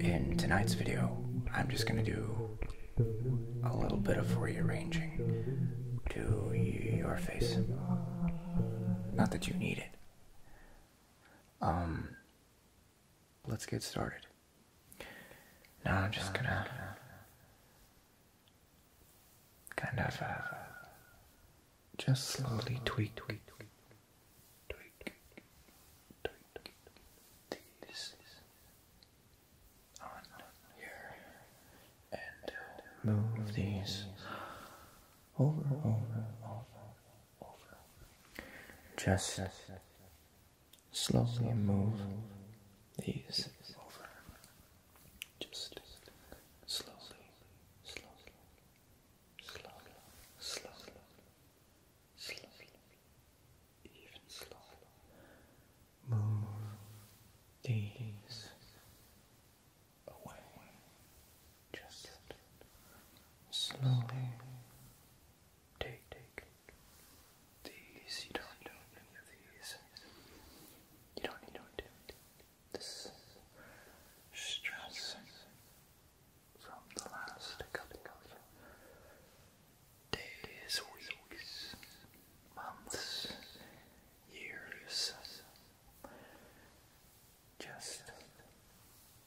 In tonight's video, I'm just gonna do a little bit of rearranging to your face. Not that you need it. Um, let's get started. Now I'm just gonna kind of uh, just slowly tweak, tweak, tweak, tweak, tweak, tweak these on here and uh, move these over, over, over, over. Just slowly move these over just slowly, slowly, slowly, slowly, slowly, even slowly. Move these away. Just slowly. Take, take these. You don't, don't need these. You don't need to this stress from the last days, weeks, months, years just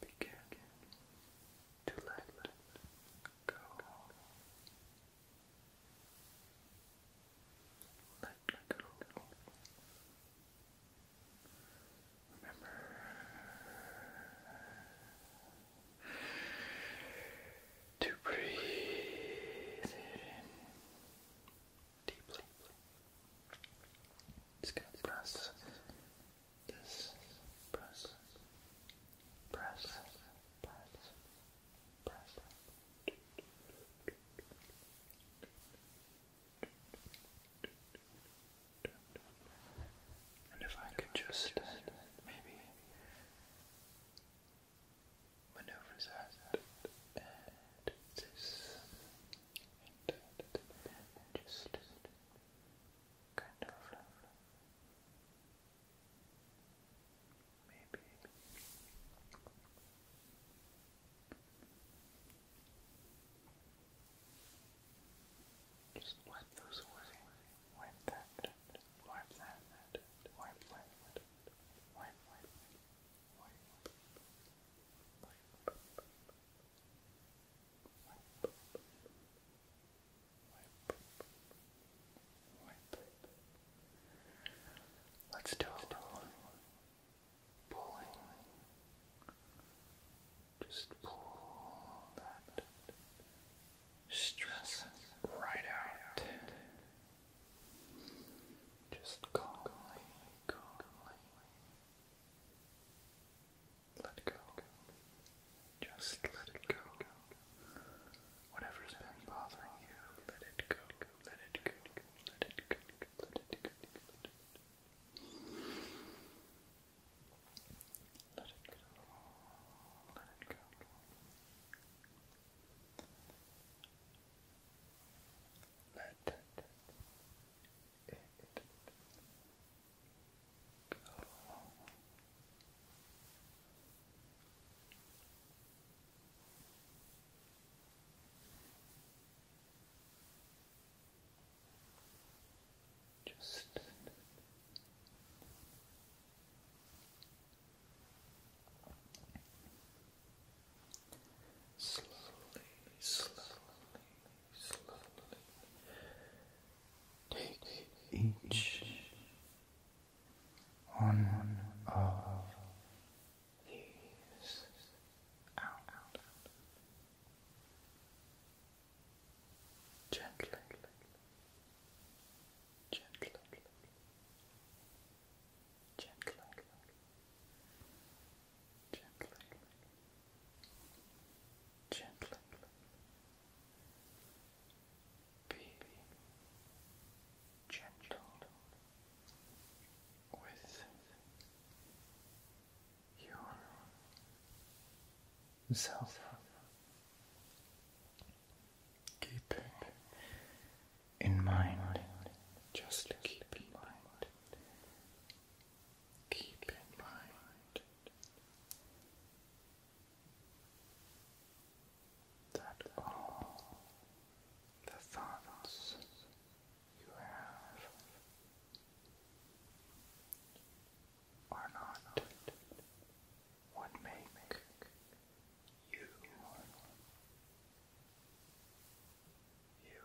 begin to let go. Let, let go. Remember. To breathe deeply. Just gonna this, press, press, press, press, press, and if I could just uh, maybe maneuver and just kind of maybe just wipe those away. Wipe that. Wipe that. Wipe that. Wipe, wipe, wipe, wipe, wipe, wipe. Let's do it pulling, just pull that stress right out. Just calmly, calmly. Let go. Just let it go. Whatever's been bothering you, let it go go, let it go, let it go, let it go, let it go. Let it go, let it go. Let it go. Let it go. Just slowly, slowly, slowly take each one of these out gently, gently, gently, gently, gently, baby gentle with yourself, keeping in mind, just keep in mind, keep in mind that all the thoughts you have are not what make you you.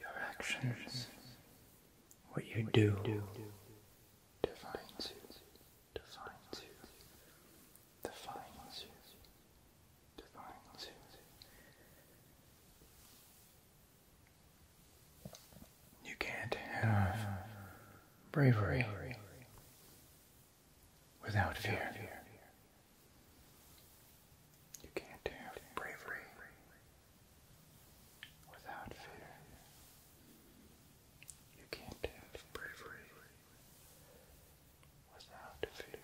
Your actions, what you do, defines you, defines you, defines you, defines you. You can't have bravery without fear. You can't have bravery without fear. You can't have bravery without fear.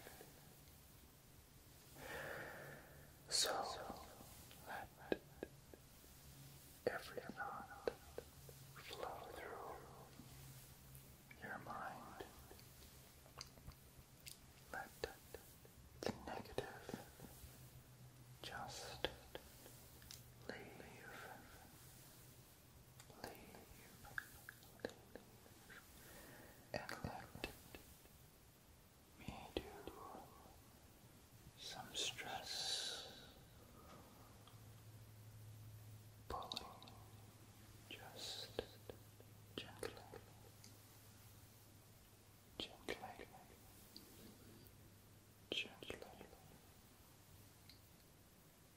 So let every thought flow through your mind. Let the negative just leave. Leave and let me do some stress pulling just gently, gently, gently,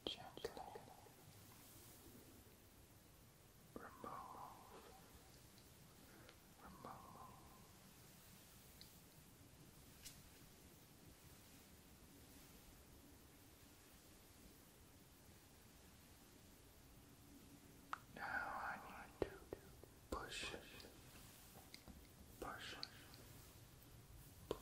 gently remove, remove. Now I need to push, push, push,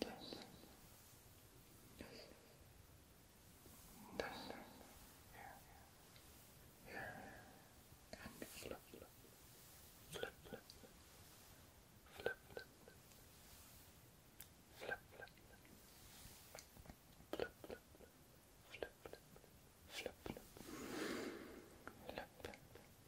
this, this, flip, flip, flip, flip, flip, flip, flip, flip, flip, flip, flip, flip, flip, flip,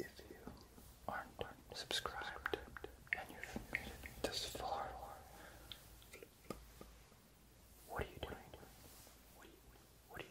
If you aren't subscribed and you've made it this far, what are you doing? What are you, what are you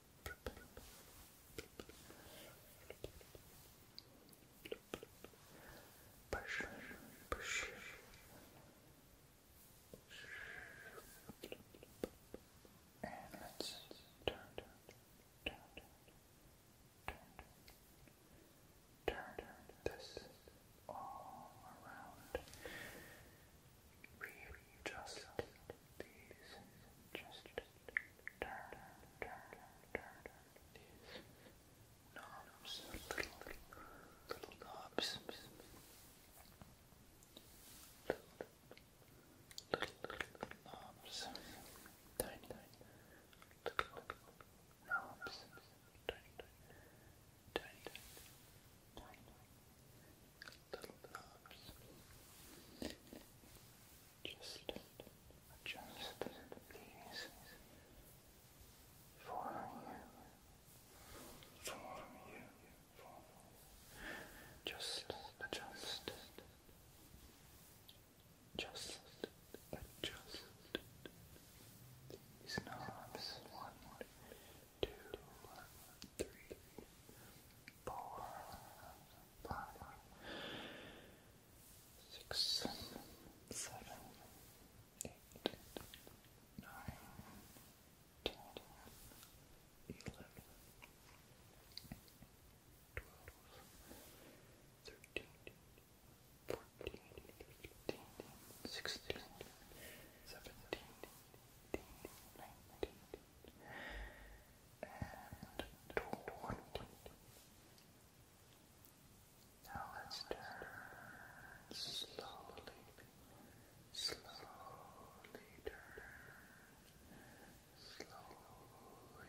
Push, push. And let's turn, turn, turn, turn, turn, turn, turn this all around. We just these, just turn, turn, turn these knobs, little, little knobs, little, little, little knobs, tiny, tiny, little, little knobs, tiny, tiny, tiny, tiny, little knobs. Just adjust these for you, for you, for Just adjust, just adjust these knobs. One, two, three, four, five six, seven, eight, nine, ten, eleven, twelve, thirteen, fourteen, fifteen, sixteen, seventeen, eighteen, nineteen and twenty. Now let's turn slowly, slowly turn, slowly.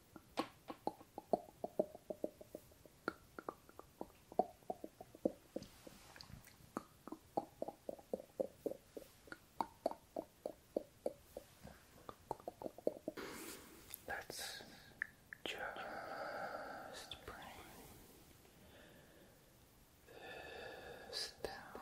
Let's just bring this down,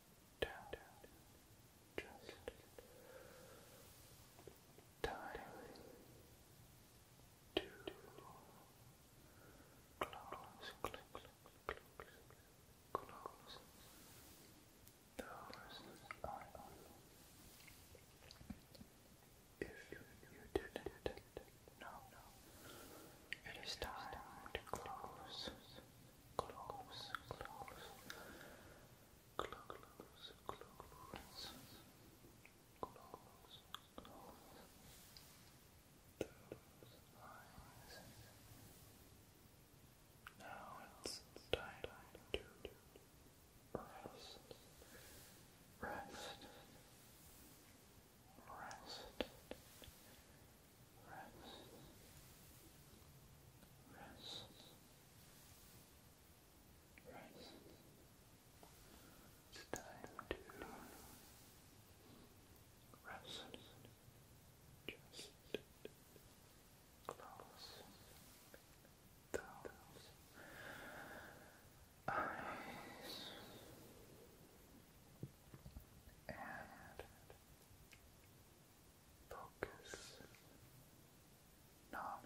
down, just time to close, close, close, close those eyes. If you, you not no, it is time to close. Those eyes close, close, close, close, close, close, those eyes. Now it's time to rest, rest, rest rest, rest, rest. It's time to rest. Just close those eyes and Focus not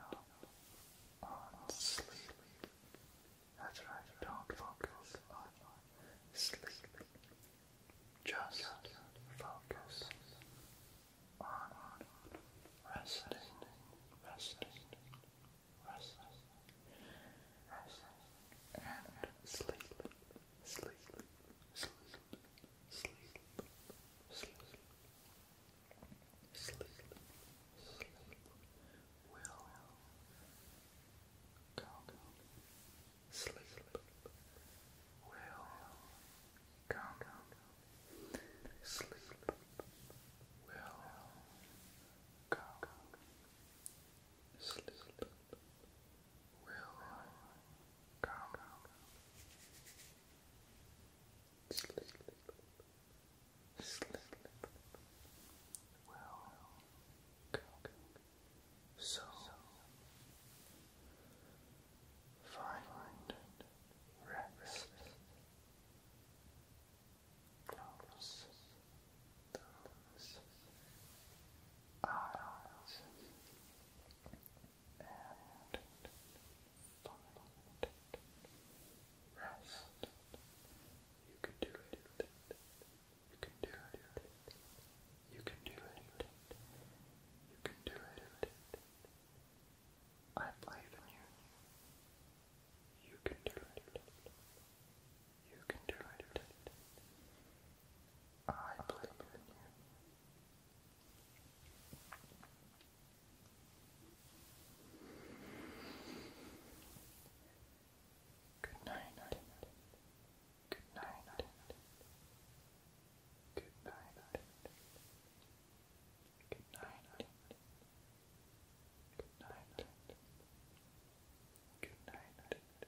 on sleep. That's right, don't focus on sleep. Just focus on resting, resting, resting, resting, and sleep sleep, sleep, sleep, sleep, sleep, sleep will come. Sleep will come. Sleep will come. Sleep will come slip, slip, will come so find rest close those eyes and find rest. You can do it. You can do it. You can do it. You can do it. I believe in you. You can do it. You can do it. You I believe in you. Good night. Good night. Good night. Good night. Good night. Good night.